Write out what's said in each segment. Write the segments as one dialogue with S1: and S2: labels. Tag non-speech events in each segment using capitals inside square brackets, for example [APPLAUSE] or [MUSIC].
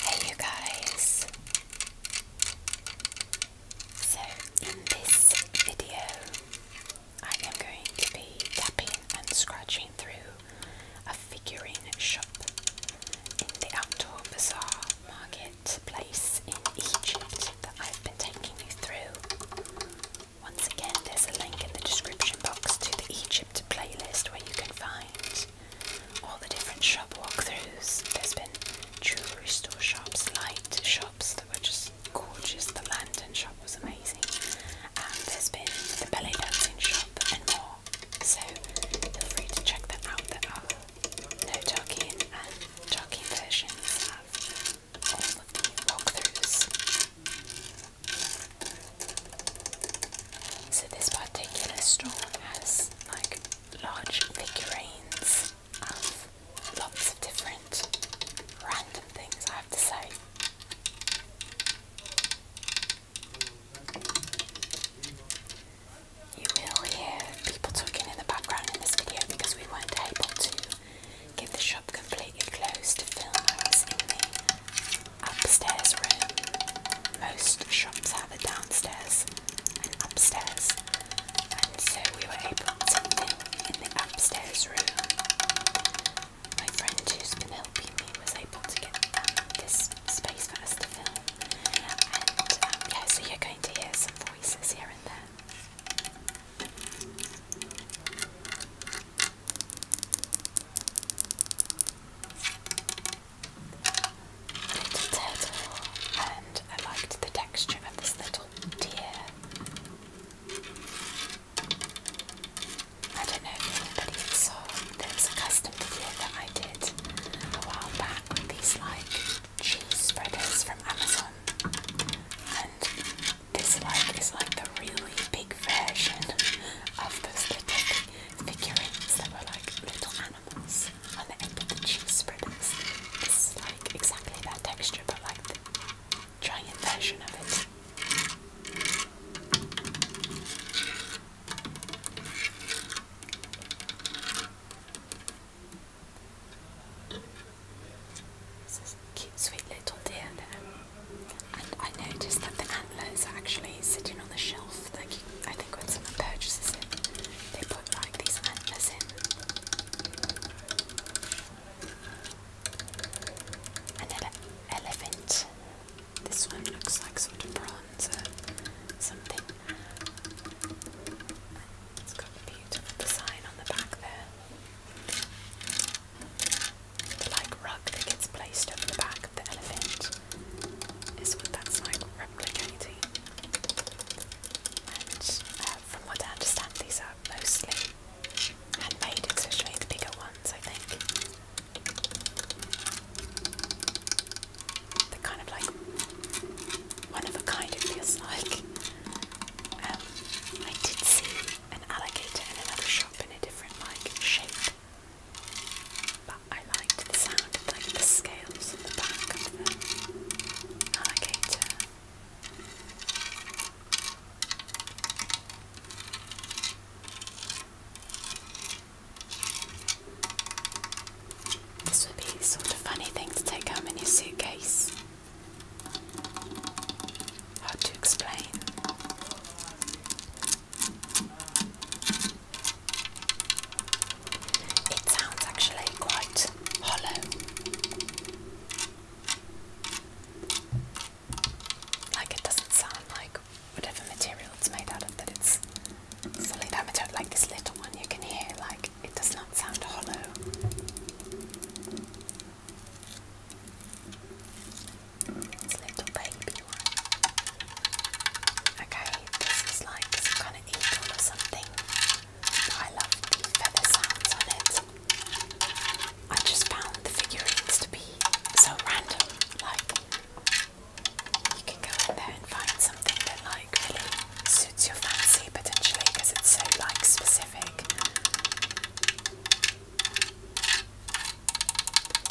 S1: Hey you guys! So in this video I am going to be tapping and scratching through a figurine shop in the outdoor bazaar market place in Egypt that I've been taking you through. Once again, there's a link in the description box to the Egypt playlist where you can find all the different shop walkthroughs. There's been jewellery store shops, light shops that were just gorgeous. The lantern shop was amazing. And there's been the belly dancing shop and more. So feel free to check them out. There are no talking and talking versions so this particular store has like large figurines of lots of different random things I have to say. You will hear people talking in the background in this video because we weren't able to Kept the shop completely closed to film hours in the upstairs room. Most shops have a downstairs and upstairs, and so we were able to film in the upstairs room. My friend who's been helping me was able to get um, this space for us to film, and um, yeah, so you're going to hear some voices here and there. Little turtle, and I liked the texture of this little deer. I don't know if anybody saw, there was a custom video that I did a while back with these like cheese spreaders from Amazon, and this like is like the really big version of the little figurines that were like little animals on the end of the cheese spreaders. It's like exactly that texture, but like giant version of it. This is a cute, sweet little deer there. And um, I noticed that the antlers are actually sitting on the shelf. Like I think when someone purchases it, they put like these antlers in. An elephant. This one looks like sort of bronze or something. It's got a beautiful design on the back there. The like rug that gets placed over the back of the elephant is what that's like replicating. And uh, from what I understand, these are mostly handmade, especially the bigger ones, I think. They're kind of like one of a kind, it feels like. Um, I did see an alligator in another shop in a different like shape, but I liked the sound of like the scales on the back of the alligator. This would be sort of funny thing to take home in your suitcase. Hard to explain. It sounds actually quite hollow. Like it doesn't sound like whatever material it's made out of that it's solid amateur like this little one you can hear like it does not sound hollow. It's little baby one. Okay, this is like some kind of eagle or something. I love the feather sounds on it. I just found the figurines to be so random. Like, you can go in there and find something that, like, really suits your fancy potentially because it's so like specific.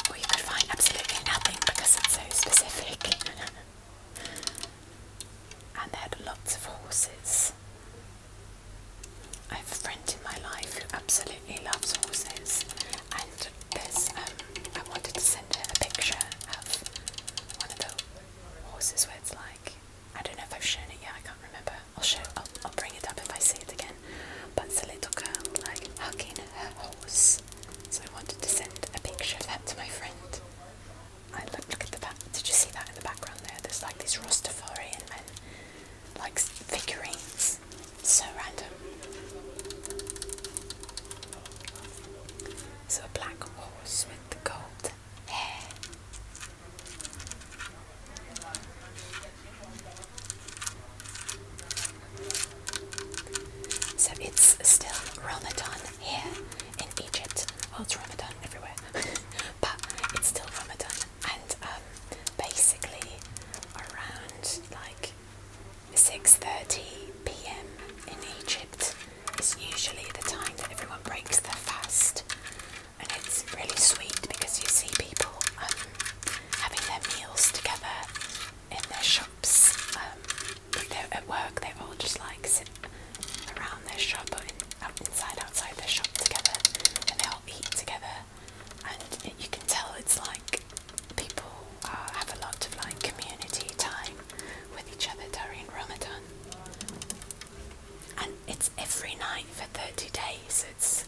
S1: Or you could find absolutely nothing because it's so specific. [LAUGHS] and they had lots of horses. I have a friend in my life who absolutely loves horses, and um, I wanted to send her a picture of one of the horses where it's like I don't know if I've shown it yet. I can't remember. I'll show. I'll, bring it up if I see it again. But it's a little girl like hugging her horse. So I wanted to send a picture of that to my friend. I look, at the back. Did you see that in the background there? There's like these Rastafarian men, like figurines. So random. So a black horse with the gold hair. So it's still Ramadan here in Egypt. Oh, it's Ramadan everywhere, [LAUGHS] but it's still Ramadan. And um, basically, around like 6.30 p.m. in Egypt is usually the time that everyone breaks their fast and it's really sweet because you see people um, having their meals together in their shops. Um, they're at work they all just like sit around their shop or inside outside the shop together and they all eat together and you can tell it's like people uh, have a lot of like community time with each other during Ramadan, and it's every night for 30 days. It's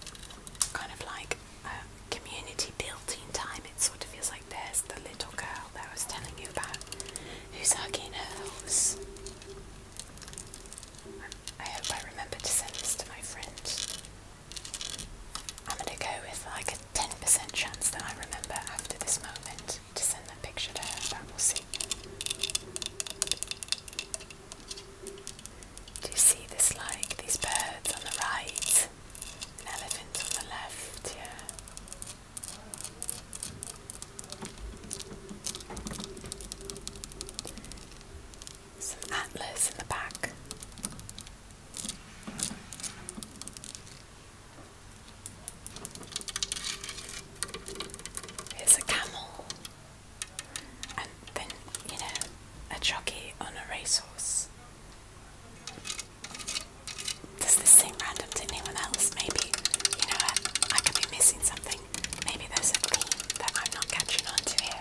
S1: kind of like a community building time. It sort of feels like there's the little girl that I was telling you about who's hugging her horse. I hope I remember to send this to my friend. I'm gonna go with like 10% chance that I remember after this moment to send that picture to her, but will see. Do you see this like these birds on the right? An elephant on the left, yeah. Some antlers in the back. It's a camel, and then, you know, a jockey on a racehorse. Does this seem random to anyone else? Maybe, you know, I, could be missing something. Maybe there's a theme that I'm not catching on here.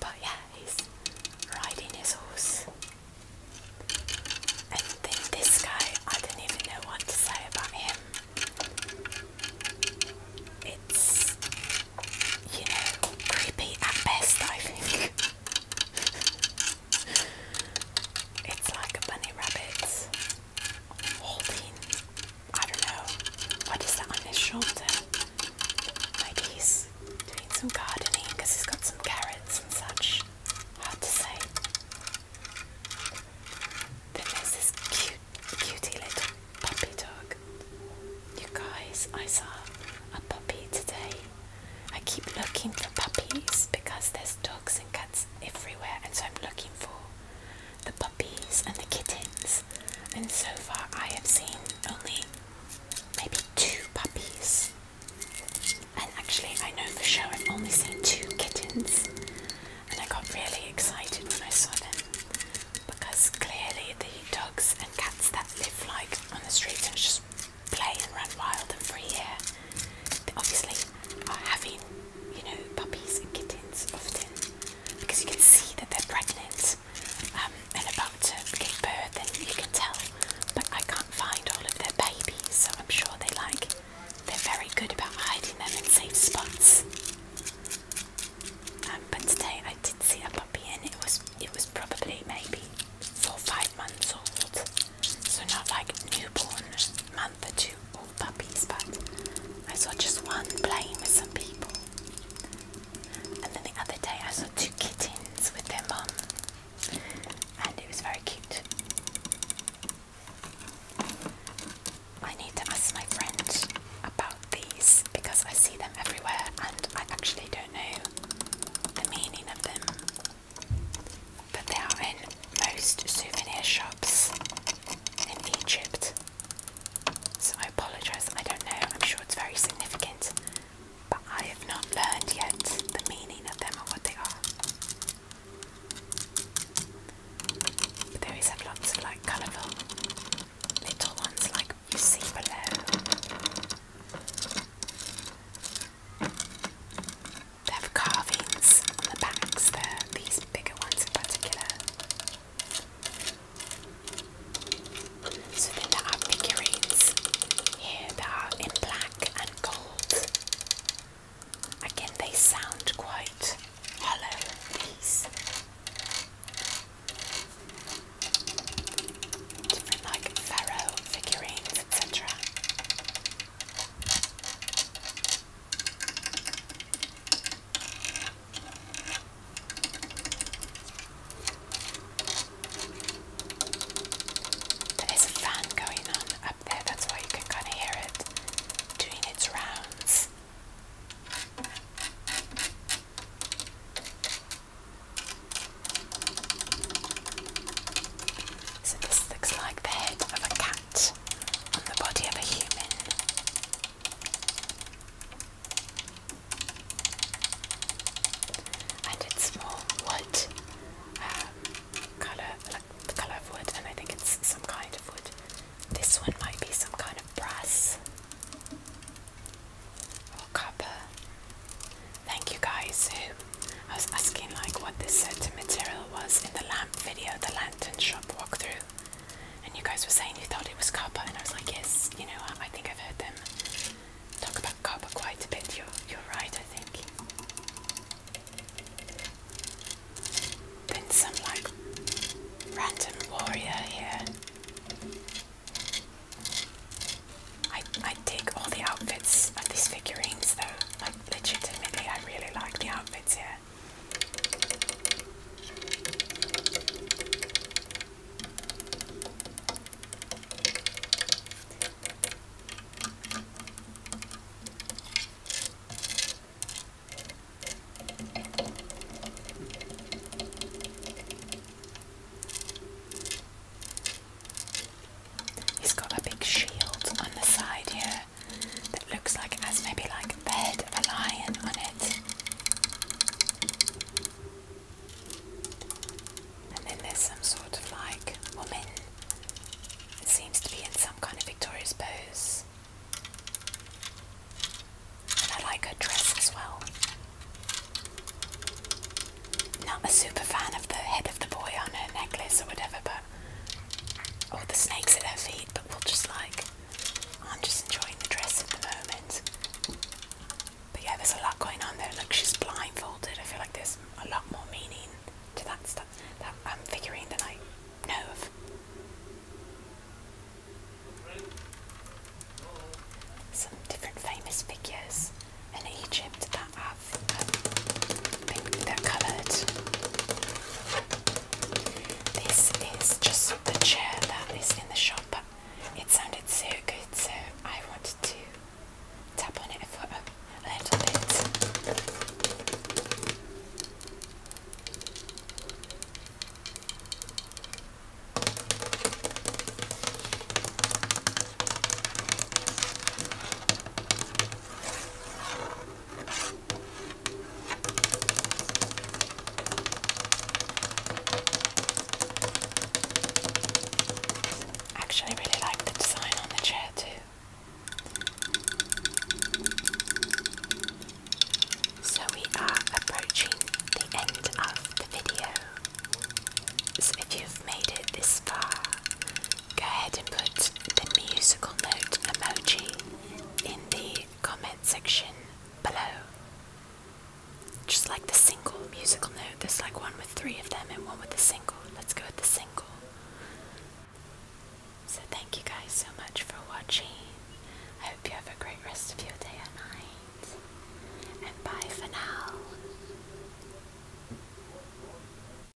S1: But yeah, he's riding his horse. And then this guy, I don't even know what to say about him. It's, you know, creepy at best, I think. [LAUGHS] it's like a bunny rabbit holding, I don't know, what is that on his shoulder? Maybe he's doing some gardening because he's got some carrots and such. Hard to say. Then there's this cute, cutie little puppy dog. You guys, I saw a puppy today. I keep looking for puppies because there's dogs and cats everywhere, and so I'm looking for the puppies and the kittens. And so far, I have seen only maybe two puppies. And actually, I know for sure I've only seen two kittens, and I got really excited when I saw them because clearly the dogs and cats that live like on the streets and just play and run wild and free here, obviously are having, you know, puppies and kittens often because you can see that they're pregnant um, and about to give birth, and you can tell. But I can't find all of their babies, so I'm sure they like. They're very good about hiding them in safe spots. Um, but today I did see a puppy, and it was it was probably maybe four five months old, so not like newborn month or two old puppies. But I saw just one playing with some people. And then the other day I saw two kittens with their mom, and it was very cute. I need to ask my friend about these because I see them everywhere and I actually don't know the meaning of them. But they are in most souvenir shops in Egypt. So I apologise, I don't know, I'm sure it's very significant, but I have not learned yet the meaning of them or what they are. But they always have lots of like colourful little ones like you see below. They have carvings on the backs there, these bigger ones in particular. So then there are figurines here that are in black and gold. Again, they sound quite hollow, these. Different like pharaoh figurines, etc. There is a fan going on up there, that's why you can kind of hear it doing its rounds. So, this looks like the head of a cat on the body of a human. And it's more wood, um, color the color of wood, and I think it's some kind of wood. This one might be some kind of brass or copper. Thank you guys who I was asking like what this certain material was in the lamp video, the lantern shop walkthrough and you guys were saying you thought it was copper, and I was like, yes, you know, I, think I've heard them talk about copper quite a bit. You're, you're right, I think. Then some like random warrior here. I I dig all the outfits of these figurines though. Like legitimately I really like the outfits here. He's got a big shield on the side here that looks like it has maybe like the head of a lion on it. And then there's some sort of like woman that seems to be in some kind of victorious pose. And I like her dress as well. Not a super fan of the head of the boy on her necklace or whatever, but but the snakes at her feet, but we'll just like I'm just enjoying the dress at the moment. But yeah, there's a lot going on there. Look, she's blindfolded. I feel like there's a lot more meaning to that stuff that I'm figuring than I know of. Some different famous figures in Egypt that have um, been, they this is just the chair that is in the shop, it sounded so good, so I wanted to tap on it for a little bit. Actually, really like the design on the chair too. So we are approaching the end of the video. So if you've made it this far, go ahead and put the musical note emoji in the comment section below. Just like the single musical note, just like one with three of them and one with a single. Let's go with the single. So, thank you guys so much for watching. I hope you have a great rest of your day and night. And bye for now.